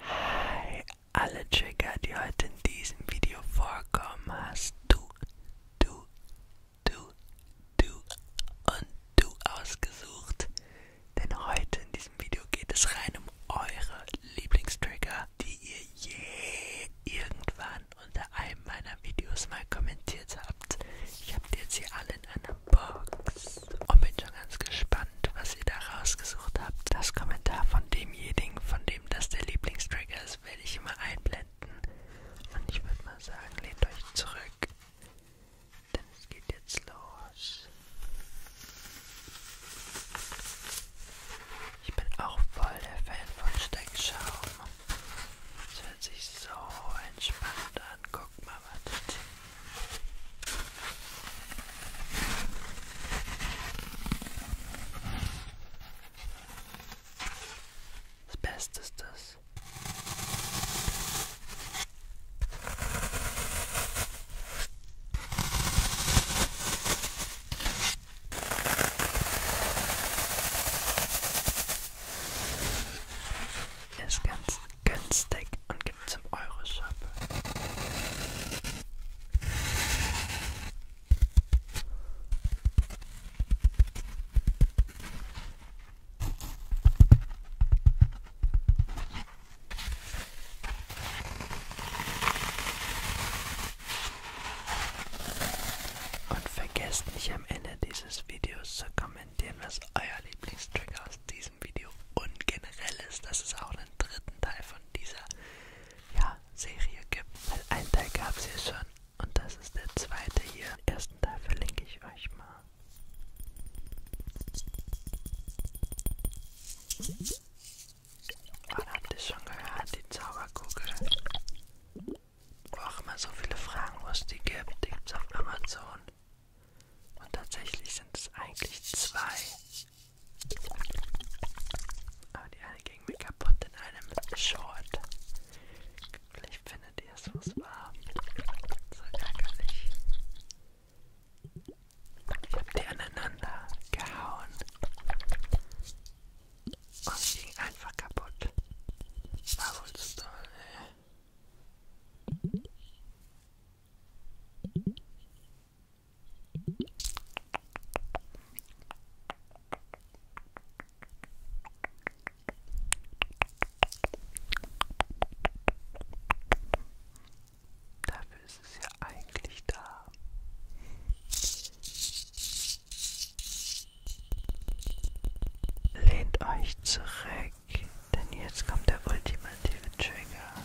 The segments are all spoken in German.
Hi, alle Trigger, die heute in diesem Video vorkommen, hast du, du, du, du und du ausgesucht. Denn heute in diesem Video geht es rein um eure Lieblingstrigger, die ihr je irgendwann unter einem meiner Videos mal kommentiert habt. Ich habe die jetzt hier alle in einer Box und oh, bin schon ganz gespannt, was ihr da rausgesucht habt. Das Kommentar von demjenigen, von dem das der Lieblingstrack ist, werde ich immer einblenden. Und ich würde mal sagen, lehnt euch zurück, denn es geht jetzt los. Ich bin auch voll der Fan von Steckschaum. Es hört sich so entspannt an. Guck mal, was das das Beste ist das. Ist ganz günstig und gibt's im Euroshop. Und vergesst nicht am Ende dieses Videos zu kommentieren, was euer Lieblingstrigger aus diesem Video und generell ist. Das ist auch noch einen dritten Teil von dieser ja, Serie gibt. Weil einen Teil gab es ja schon und das ist der zweite hier. Den ersten Teil verlinke ich euch mal. Und ah, habt ihr schon gehört, die Zauberkugel? Wo auch immer so viele Fragen, wo es die gibt, die gibt es auf Amazon. Und tatsächlich sind es eigentlich zwei. Aber die eine ging mir kaputt in einem Short. Vielleicht findet ihr es, was war. So ärgerlich. Ich hab die aneinander gehauen. Und sie ging einfach kaputt. War wohl zu doll, ey. Dafür ist es ja eigentlich da. Lehnt euch zurück, denn jetzt kommt der ultimative Trigger.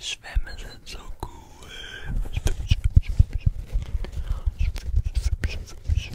Swim isn't so cool. Swim, swim, swim, swim. Swim, swim, swim, swim.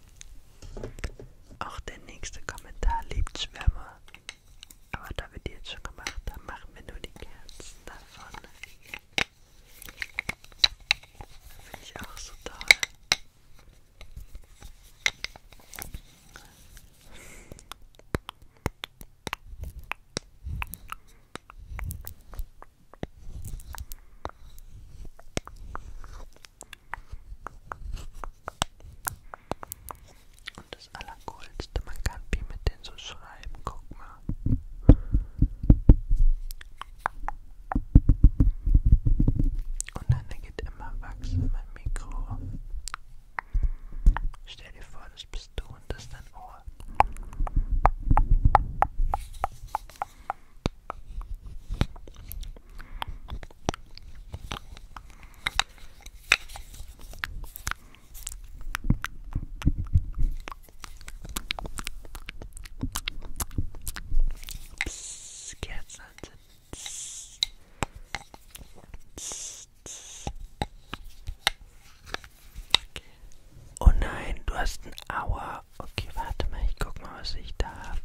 Auch der nächste Kommentar liebt Schwärmer. Aber da wir die jetzt schon gemacht haben, machen wir nur die Kerzen davon. Finde ich auch so toll. Und das Allercoolste, man kann wie mit denen so schreiben, guck mal. Und dann geht immer Wachs in mein Mikro. Stell dir vor, das bist du und das ist dein Ohr. Psst, Kerzen anzünden. Psst. Psst, psst. Okay. Oh nein, du hast ein Aua. Okay, warte mal, ich guck mal, was ich da habe.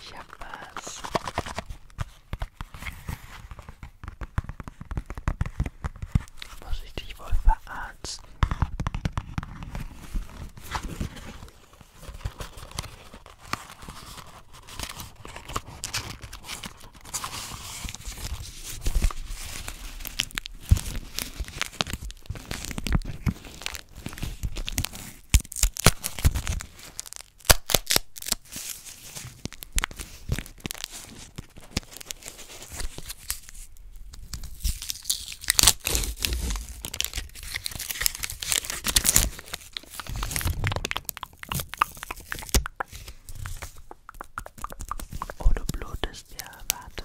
Ich hab was. Muss ich dich wohl verarzten? Oh, du blutest ja, warte.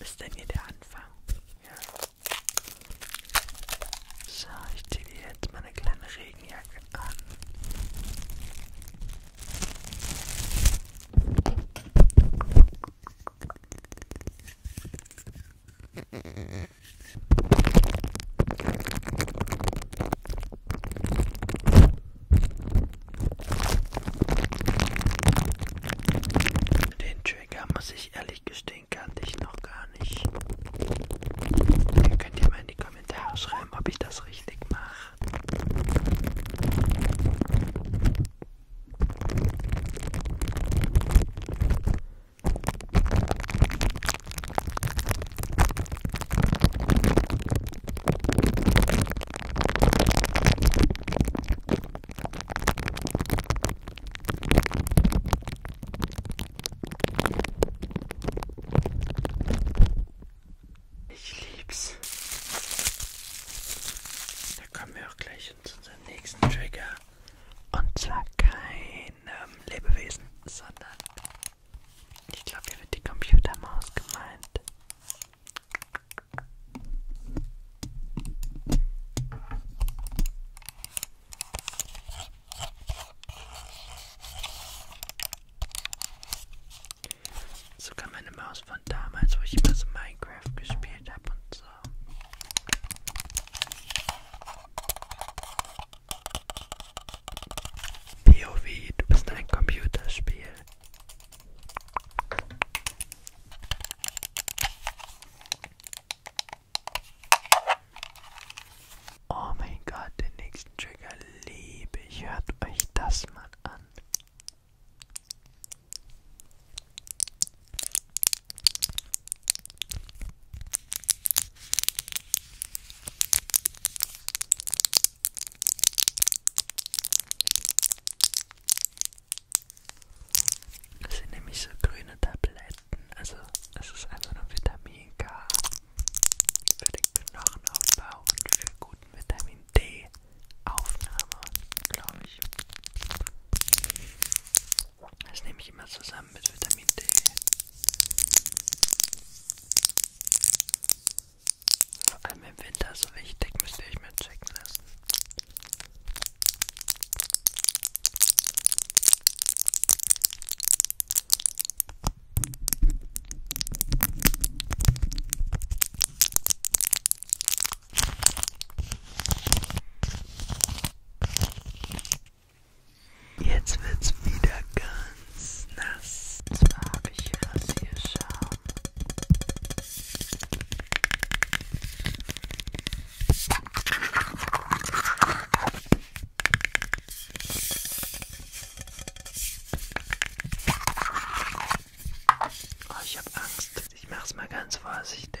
Ist denn hier der Anfang? Ja. So, ich ziehe dir jetzt meine kleine Regenjacke an. Den Trigger muss ich ehrlich gestehen, kannte ich noch gar nicht. Ihr könnt ja mal in die Kommentare schreiben, ob ich das richtig mache. Ich lieb's. Da können wir wir auch gleich zu unserem nächsten Trigger. Und zwar keinem ähm, Lebewesen, sondern ich glaube, hier wird die Computermaus gemeint. Sogar meine Maus von damals, wo ich immer so Minecraft gespielt habe und so. POV, du bist ein Computerspiel. Oh mein Gott, den nächsten Trigger liebe ich. Hört euch das mal an. Das sind nämlich so grüne Tabletten, also es ist einfach nur Vitamin K für den Knochenaufbau und für guten Vitamin D. Aufnahme, glaube ich. Das nehme ich immer zusammen mit Vitamin D. Vor allem im Winter so wichtig, müsst ihr euch mal checken lassen. Jetzt wird's wieder ganz nass. Und zwar habe ich hier Rasierschaum. Oh, ich habe Angst. Ich mach's mal ganz vorsichtig.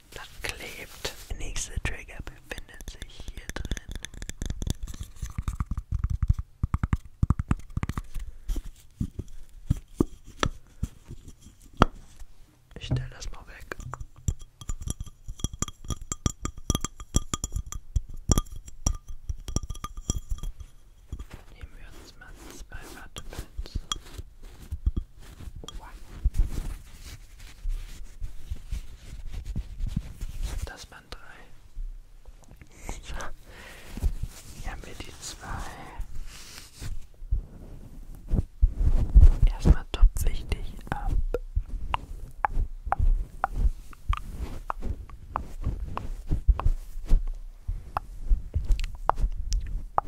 Das klebt. Der nächste Trigger befindet sich hier drin. Ich stelle das mal weg. Nehmen wir uns mal zwei Wattpins. Das waren drei. So. Hier haben wir die zwei. Erstmal top wichtig ab.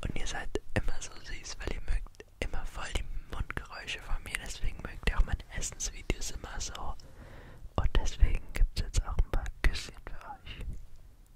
Und ihr seid immer so süß, weil ihr mögt immer voll die Mundgeräusche von mir, deswegen mögt ihr auch meine Essensvideos immer so. Und deswegen gibt es jetzt auch ein paar Küsschen für euch.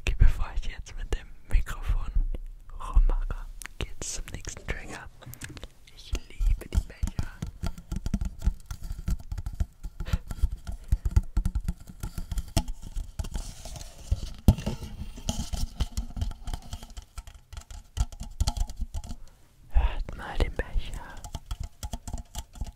Okay, bevor ich jetzt mit dem Mikrofon rummache, geht's zum nächsten Trigger. Ich liebe die Becher. Hört mal den Becher.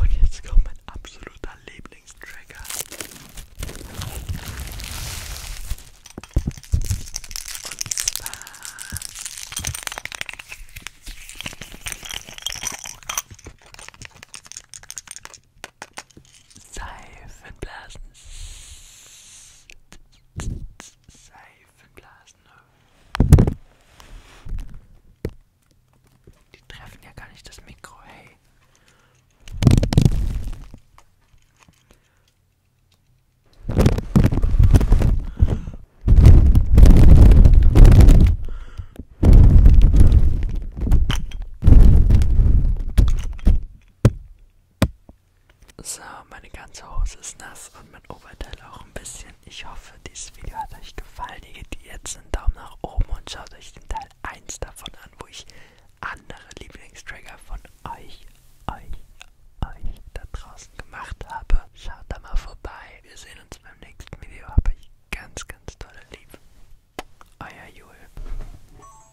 Und jetzt kommt mein absoluter Lieblingstrigger. Und zwar Seifenblasen. Seifenblasen. Die treffen ja gar nicht das Mikro, hey. So, meine ganze Hose ist nass und mein Oberteil auch ein bisschen. Ich hoffe, dieses Video hat euch gefallen. Ihr gebt jetzt einen Daumen nach oben und schaut euch den Teil 1 davon an, wo ich andere Lieblingstrigger von euch, euch, euch da draußen gemacht habe. Schaut da mal vorbei. Wir sehen uns beim nächsten Video. Hab ich ganz, ganz tolle Liebe. Euer Jul.